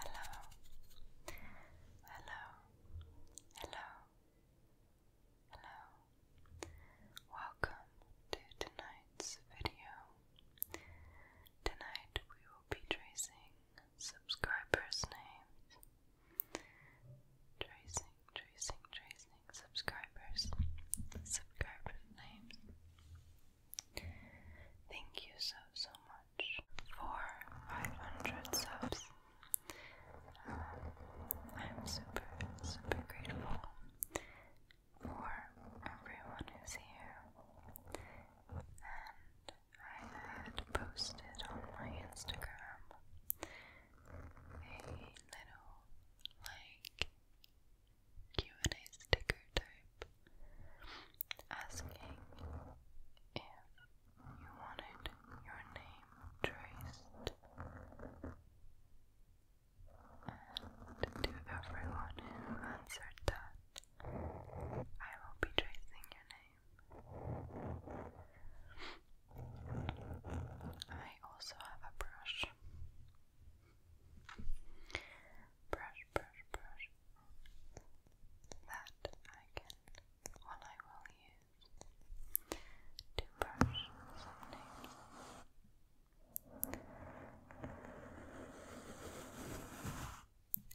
Hello, hello, hello, hello. Welcome to tonight's video. Tonight we will be tracing subscribers' names. Tracing, tracing, tracing subscribers, subscribers' names. Thank you so, so much for 500 subs. Uh, I'm super, super grateful for everyone who's here. And I had posted on my Instagram a little like Q&A sticker type asking if you wanted your name traced and to everyone who answered that I will be tracing your name. I also have a brush. Brush, brush, brush, that I can, one I will use to brush some names.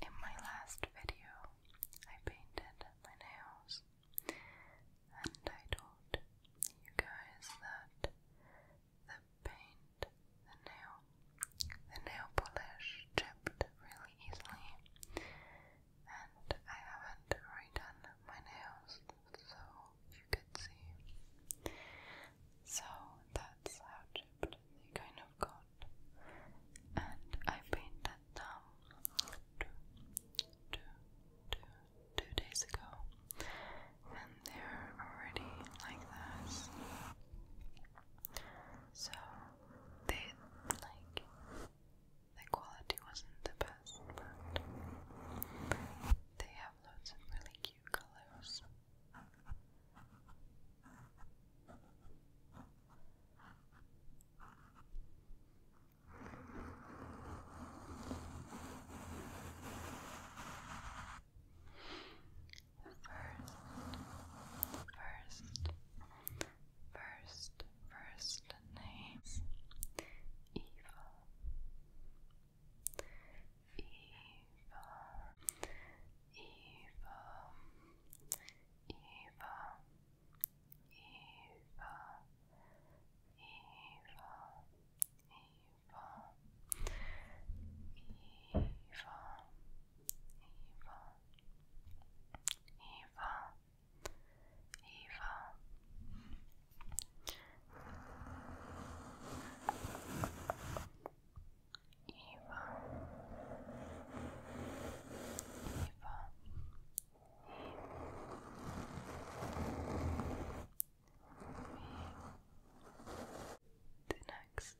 In my last video, I painted my nails and I told you guys that the paint, the nail, the nail polish chipped really easily, and I haven't redone my nails, so you could see. So that's how chipped they kind of got, and I painted them two, two, two, two days ago. And they're already like this. So they like the quality wasn't the best, but they have lots of really cute colors. First, first, first, first name Eva. Eva. Eva. Eva. Eva. Eva. Eva. Eva, Eva, Eva, Eva. Eva. Eva. The next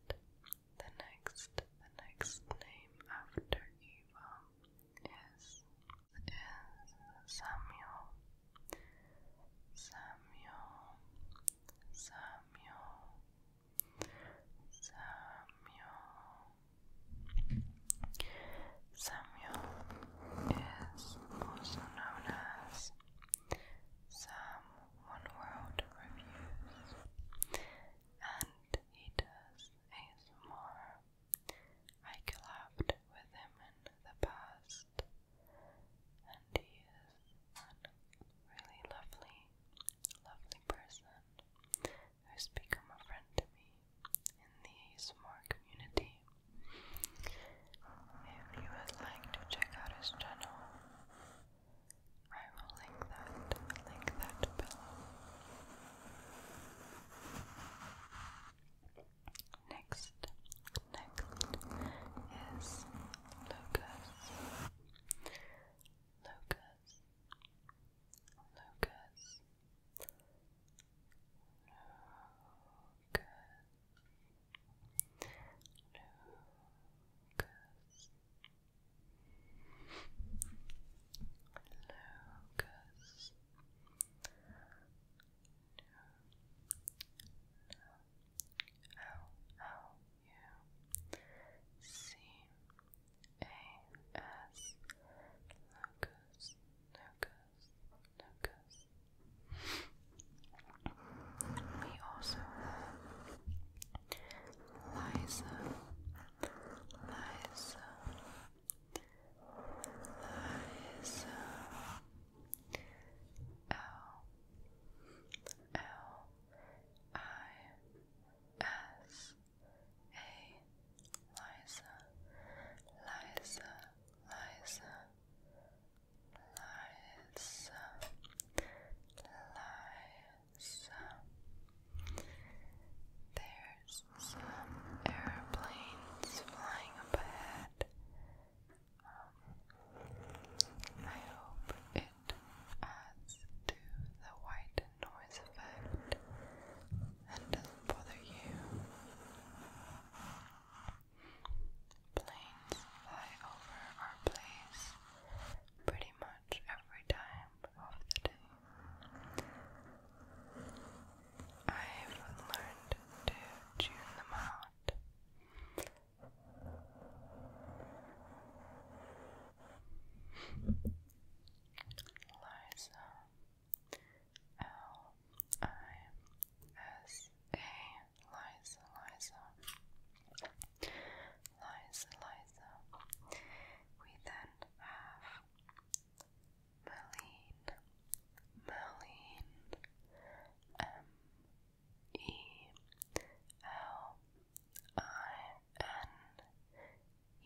the next, the next name after Eva is is Samuel. Samuel. Samuel. Samuel. Samuel is also known as some One World reviews, and he does ASMR. I collabed with him in the past, and he is a really lovely, lovely person who's become a friend to me in the ASMR community. If you would like to check out his channel, I will link that, link that below. Next, next is Lucas. Lucas. Lucas. Lucas. Lucas. Lucas. Lucas. No. L L U C A S Lucas Lucas Lucas we also have Liza, Liza, Liza, L, L, I, S, A, Liza, Liza, Liza, leise, leise. There's some airplanes flying up ahead. Um, I hope it adds to the white noise effect and doesn't bother you. Planes fly over our place pretty much every time of the day. I've learned to tune them out. L I S A Liza, Liza, Liza, Liza. We then have Merlene, Merlene, M E L I N E,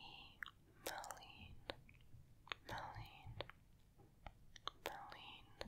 Merlene, Merlene. Merlene,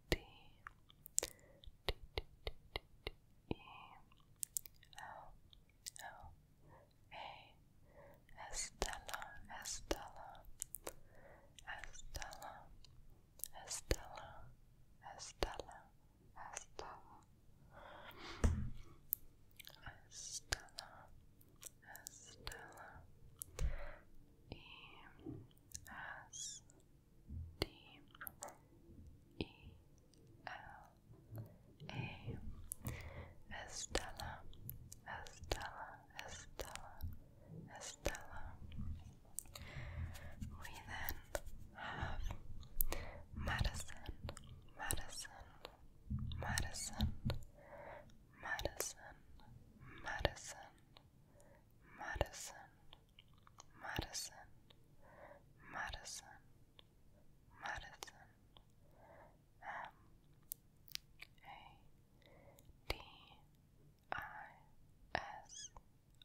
D D D D D D E L L A Estella Estella Estella Estella Estella Estella Estella Estella E S D E L A Estella Estella Estella Estella We then have Madison Madison Madison Madison Madison Madison Madison, Madison, Madison, M A D I S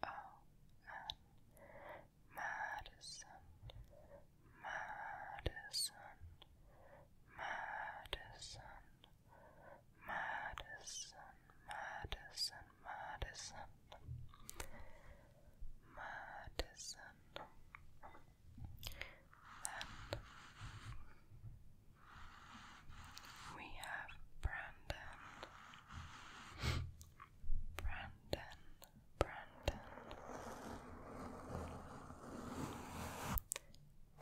O N, Madison, Madison, Madison, Madison. Madison, Madison, Madison. Then we have Brandon, Brandon, Brandon. B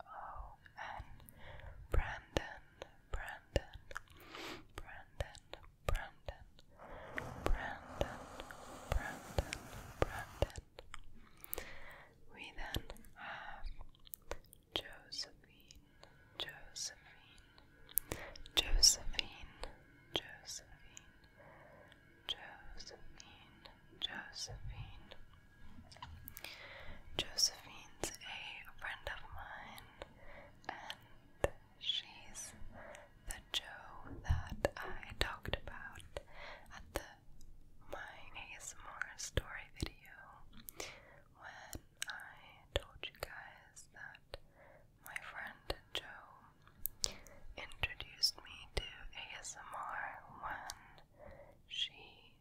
Oh man, Brandon, Brandon, Brandon, Brandon, Brandon, Brandon, Brandon. We then have Josephine, Josephine, Josephine, Josephine, Josephine, Josephine. Josephine's a friend of mine, and she's the Joe that I talked about at the My ASMR story video when I told you guys that my friend Joe introduced me to ASMR when she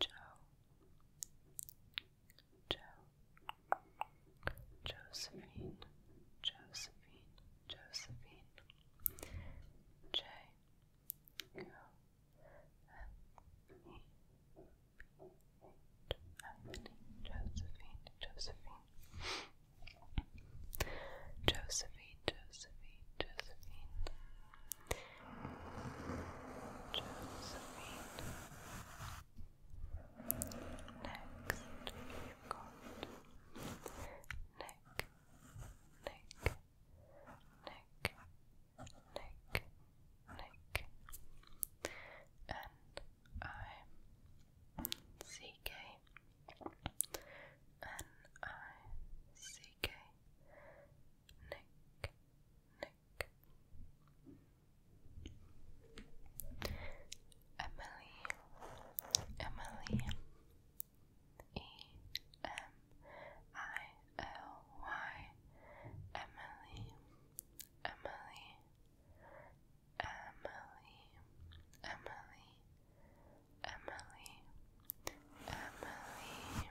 Joe, Joe, Josephine, Josephine, Josephine, J, Go, F, E, B, H, Josephine, Josephine, Josephine, Josephine, Josephine, Josephine. Next, we got Nick, Nick, Nick, Nick, Nick, and I C K N I C K Nick Nick Emily, Emily, E M I L Y, Emily, Emily, Emily, Emily, Emily, Emily.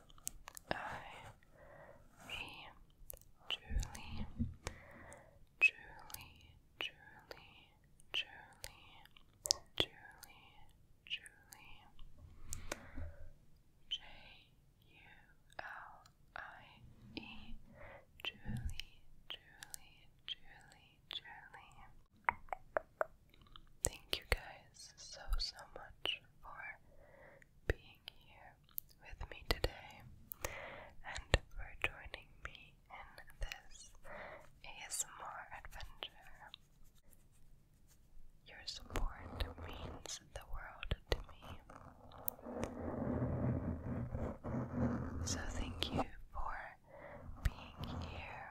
I me truly, truly, truly, truly, truly, truly. J U L I E truly, truly, truly, truly. Thank you guys so, so much for being here with me today and for joining me in this ASMR adventure. Your support means the world to me. So, thank you for being here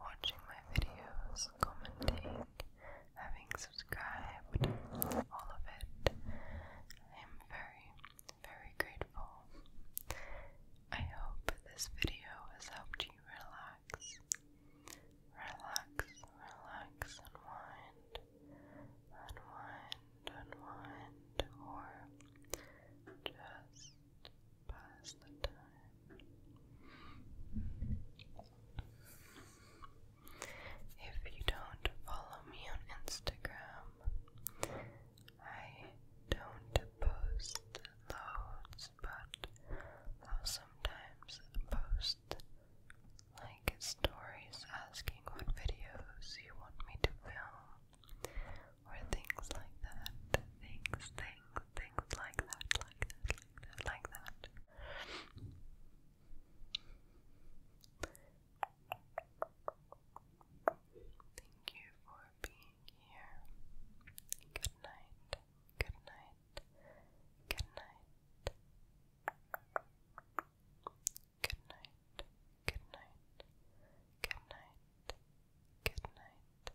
watching my videos, commenting, having subscribed, all of it. I am very, very grateful. I hope this video has helped you relax. Relax, relax, unwind, unwind, unwind, or just pass the time. If you don't follow me on Instagram, I don't post loads, but I'll sometimes post like stories asking what videos you want me to film or things like that. Things, things, things like that, like that, like that, Thank you for being here. Good night. Good night. Good night. Good night. Good night. Good night. Good night.